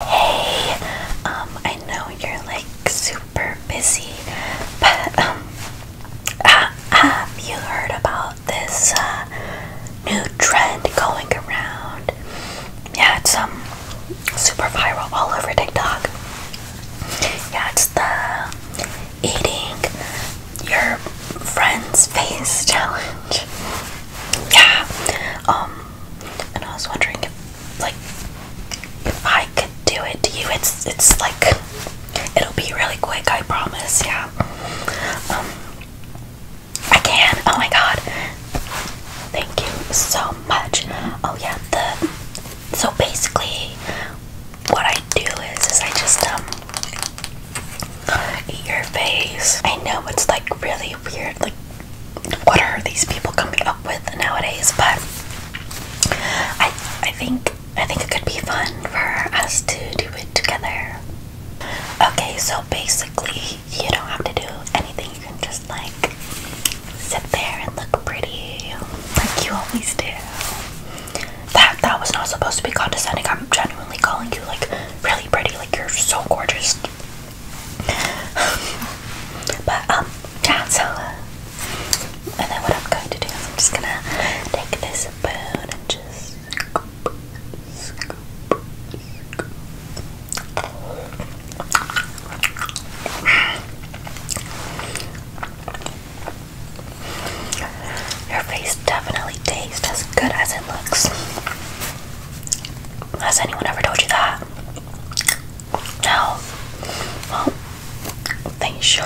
Hey, um, I know you're like super busy, but um, uh, have you heard about this uh, new trend going around? Yeah, it's um super viral all over TikTok. Yeah, it's the eating your friend's face challenge. Yeah, um, and I was wondering like if I could do it to you, it's it's like it'll be really quick. I promise. Yeah. Um, I can. Oh my god. Thank you so much. Oh yeah. The so basically, what I do is is I just um eat your face. I know it's like really weird. Like, what are these people coming up with nowadays? But I, I think, I think it could be fun for us to do it together. Okay, so basically, you don't have to do anything. You can just like sit there and look pretty, like you always do. That that was not supposed to be condescending. I'm genuinely calling you like really pretty. Like you're so gorgeous. but um, that's all. And then what I'm going to do is I'm just gonna take this spoon just Your face definitely tastes as good as it looks. Has anyone ever told you that? No. Well, they should.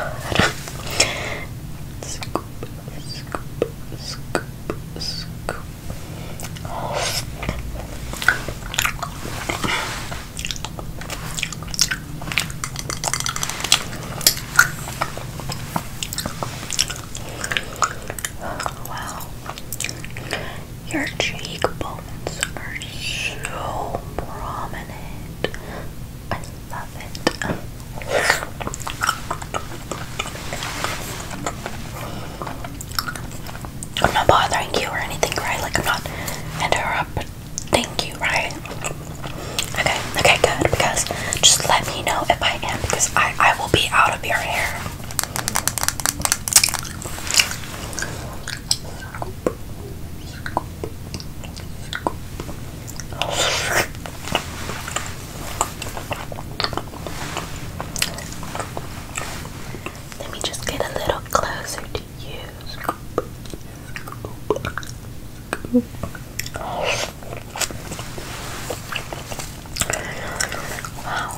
Wow. Your cheekbones are so prominent. I love it. I'm not bothering you or anything, right? Like, I'm not interrupting you, right? Okay, okay, good. Because just let me know if I am, because I, I will be out of your hair. Let me just get a little closer to you. Scoop. Scoop. Scoop. Wow,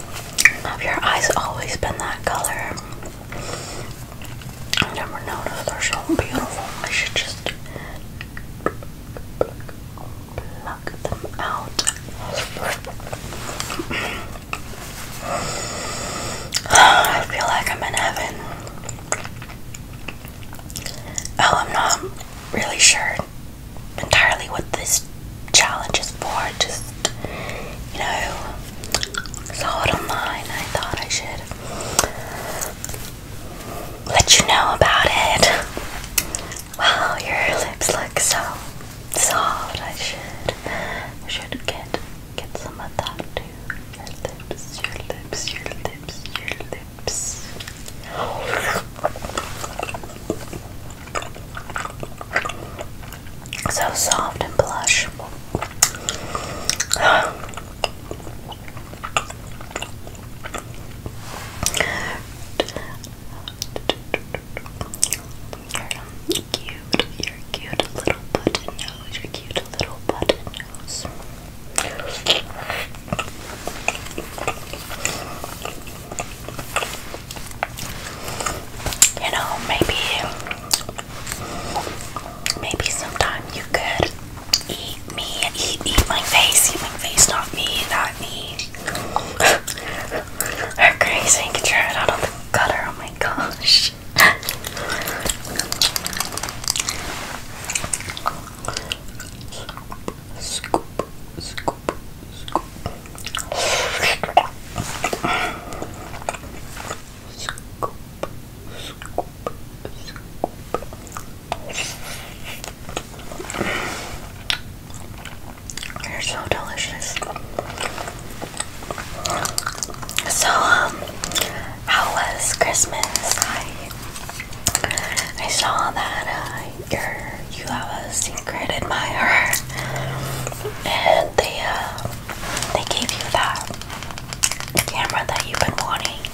have your eyes always been that color? I never noticed they're so beautiful. I should just pluck them out. I feel like I'm in heaven. Oh, I'm not really sure entirely what this challenge is for. Just, you know, saw it online. I thought I should let you know about it. Wow, your lips look so soft. I should, should get get some of that too. Your lips, your lips, your lips, your lips. So soft and plush. you you're cute little button nose, you're cute little button nose. You know, maybe maybe sometime you could eat me, eat eat my face, eat my face, not me, not me. They're crazy, you can try it out oh my gosh. scoop, scoop, scoop. Scoop, scoop, scoop. They're so delicious. So, um, how was Christmas? I I saw that uh, you're have a secret admirer, and they uh, they gave you that camera that you've been wanting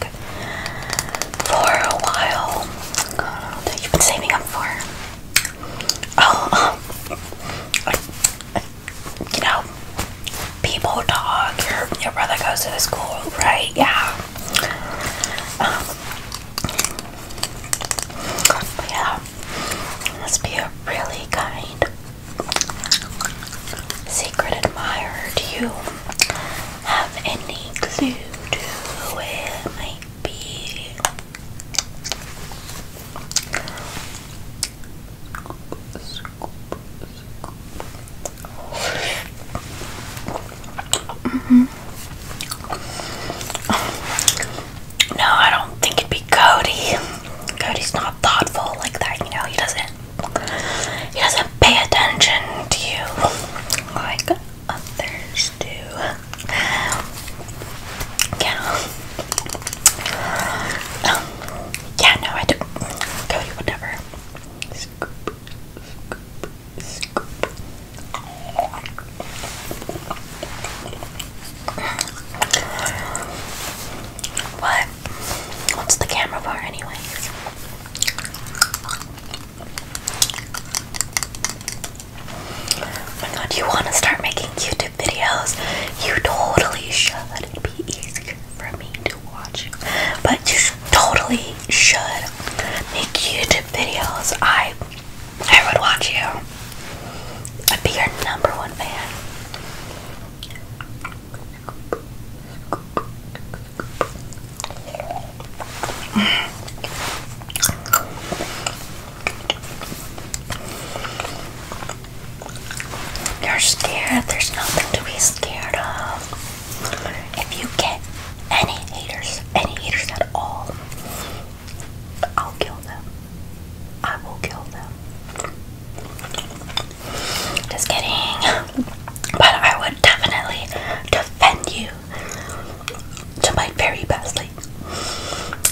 for a while uh, that you've been saving up for. Oh, you know, people talk. Your brother goes to the school, right? Yeah. Um, yeah, must be a really kind secret admirer. Do you have any clue who it might be? Mm-hmm. No, I don't think it'd be Cody. Cody's not thoughtful like that, you know, he doesn't he doesn't pay attention to you like others do. Yeah. yeah, no, I don't Cody would never what? What's the camera for, anyway? Oh my god, you want to start making YouTube videos? You totally should. It'd be easier for me to watch. But you totally should make YouTube videos. I I would watch you. I'd be your number one fan. You're scared. There's nothing to be scared of. If you get any haters, any haters at all, I'll kill them. I will kill them. Just kidding. But I would definitely defend you to my very bestly.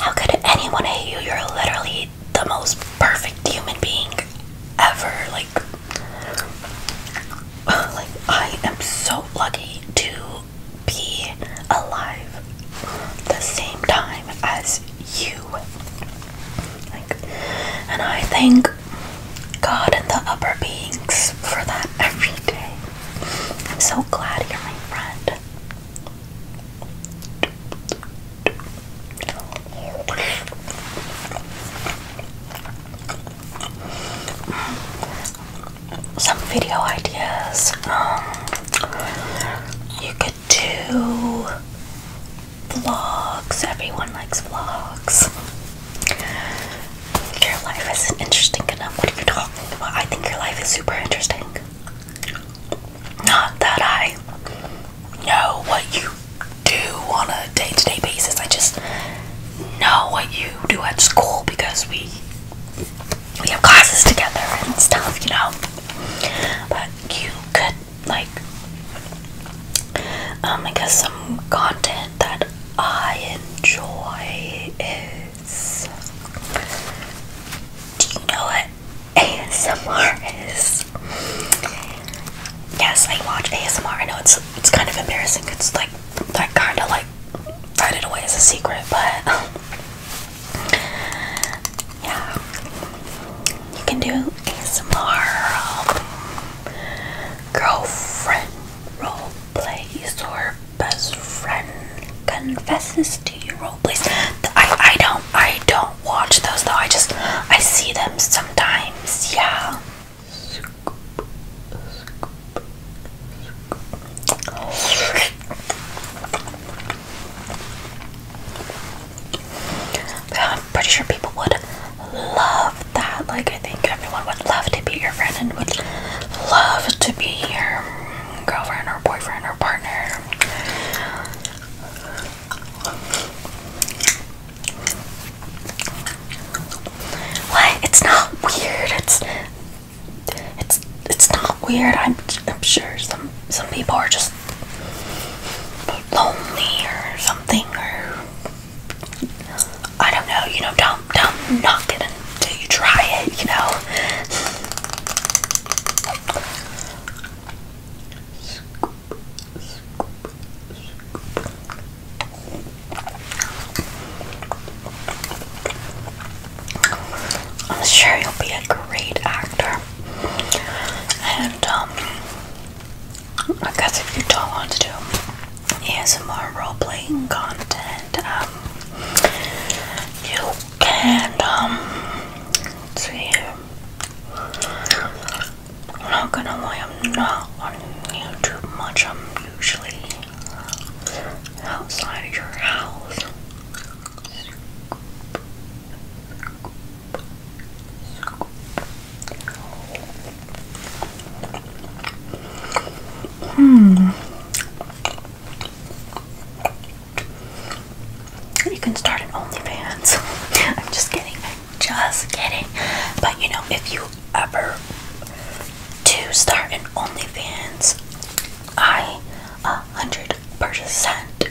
how could anyone hate you? You're literally the most perfect human being ever. Like, like I am so lucky to be alive the same time as you. Like, and I thank God and the upper beings for that every day. I'm so glad you're my friend some video ideas. Um, you could do vlogs. Everyone likes vlogs. Your life isn't interesting enough. What are you talking about? I think your life is super interesting. Not that I know what you do on a day to day basis. I just know what you do at school because we we have classes together and stuff, you know. But you could like um I guess some content that I enjoy is Do you know what ASMR is? Yes, I watch ASMR. I know it's it's kind of embarrassing. It's like that kind of like hide it away as a secret, but yeah, you can do ASMR um, girlfriend role plays or best friend confesses to you role plays. I I don't I don't watch those though. I just I see them sometimes. Yeah. I'm pretty sure people would love that. Like, I think everyone would love to be your friend and would love to be your girlfriend or boyfriend or partner. What? It's not weird. It's it's it's not weird. I'm I'm sure some some people are just lonely or something or I don't know. You know, don't don't knock it until you try it. You know. I'm sure you'll be a great actor. And um I guess if you don't want to do ASMR role playing content, um you can um let's see I'm not gonna lie, I'm not on YouTube much. I'm usually outside your house. Hmm. You can start an OnlyFans. I'm just kidding. just kidding. But you know, if you ever to start an OnlyFans, I a hundred percent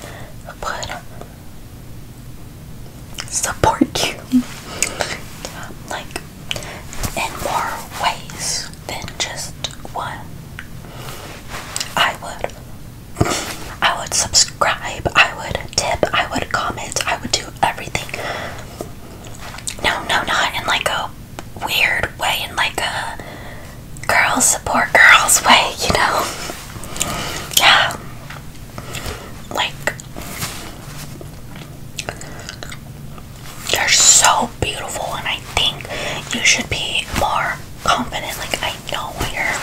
would support you, like in more ways than just one. I would, I would subscribe. I would tip. I would comment. I would do everything. No, no, no, and let go weird way, in like a girls support girls way, you know? yeah. Like, you're so beautiful, and I think you should be more confident. Like, I know you're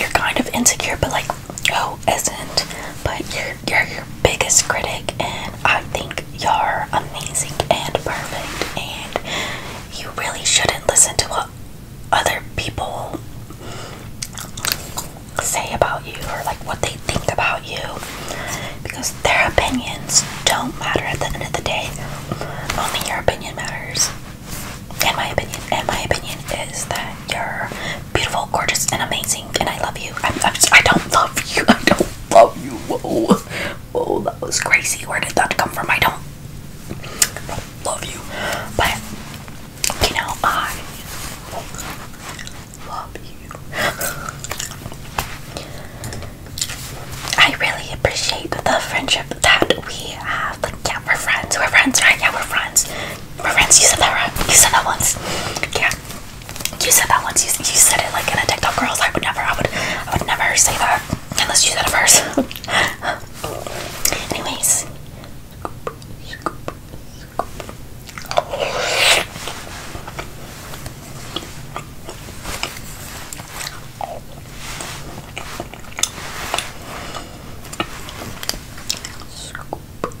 you're kind of insecure, but like, who oh, isn't? But you're you're your biggest critic, and I think you're amazing and perfect, and you really shouldn't listen to what other people say about you or like what they think about you because their opinions don't matter at the end of the day. Only your opinion matters. And my opinion, and my opinion is that you're beautiful, gorgeous, and amazing. And I love you. I, I, I don't love you. I don't love you. Whoa, whoa, that was crazy. Where did that come from? I don't, I love you. But you know, I love you. I really appreciate the friendship that we have. yeah, we're friends. We're friends, right? Yeah, we're friends. We're friends. You said that right? You said that once. Yeah. You said that once. You, said it like in a TikTok girls. I would never. I would. I would never say that unless you said it first. Anyways, scoop,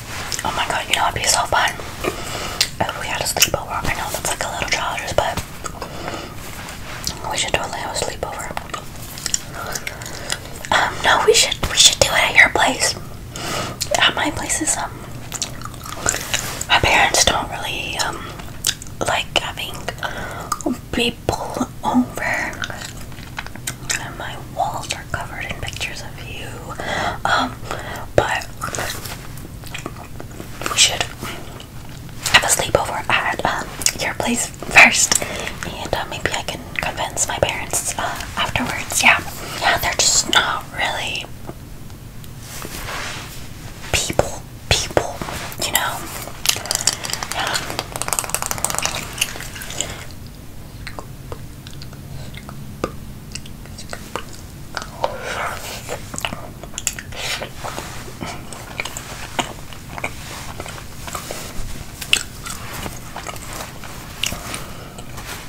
Oh my god, you know, it'd be so fun if we had a sleepover. I know that's like a little childish, but we should totally have a sleepover. Um, no, we should we should do it at your place. At my place is um my parents don't really um like having people over. And my wall covered in pictures of you. Um, but we should have a sleepover at um, your place first, and uh, maybe I can convince my parents uh, afterwards. Yeah, yeah, they're just not really people, people, you know.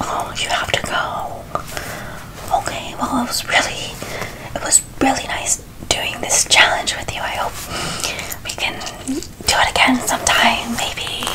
Oh, you have to go. Okay, well, it was really, it was really nice doing this challenge with you. I hope we can do it again sometime, maybe.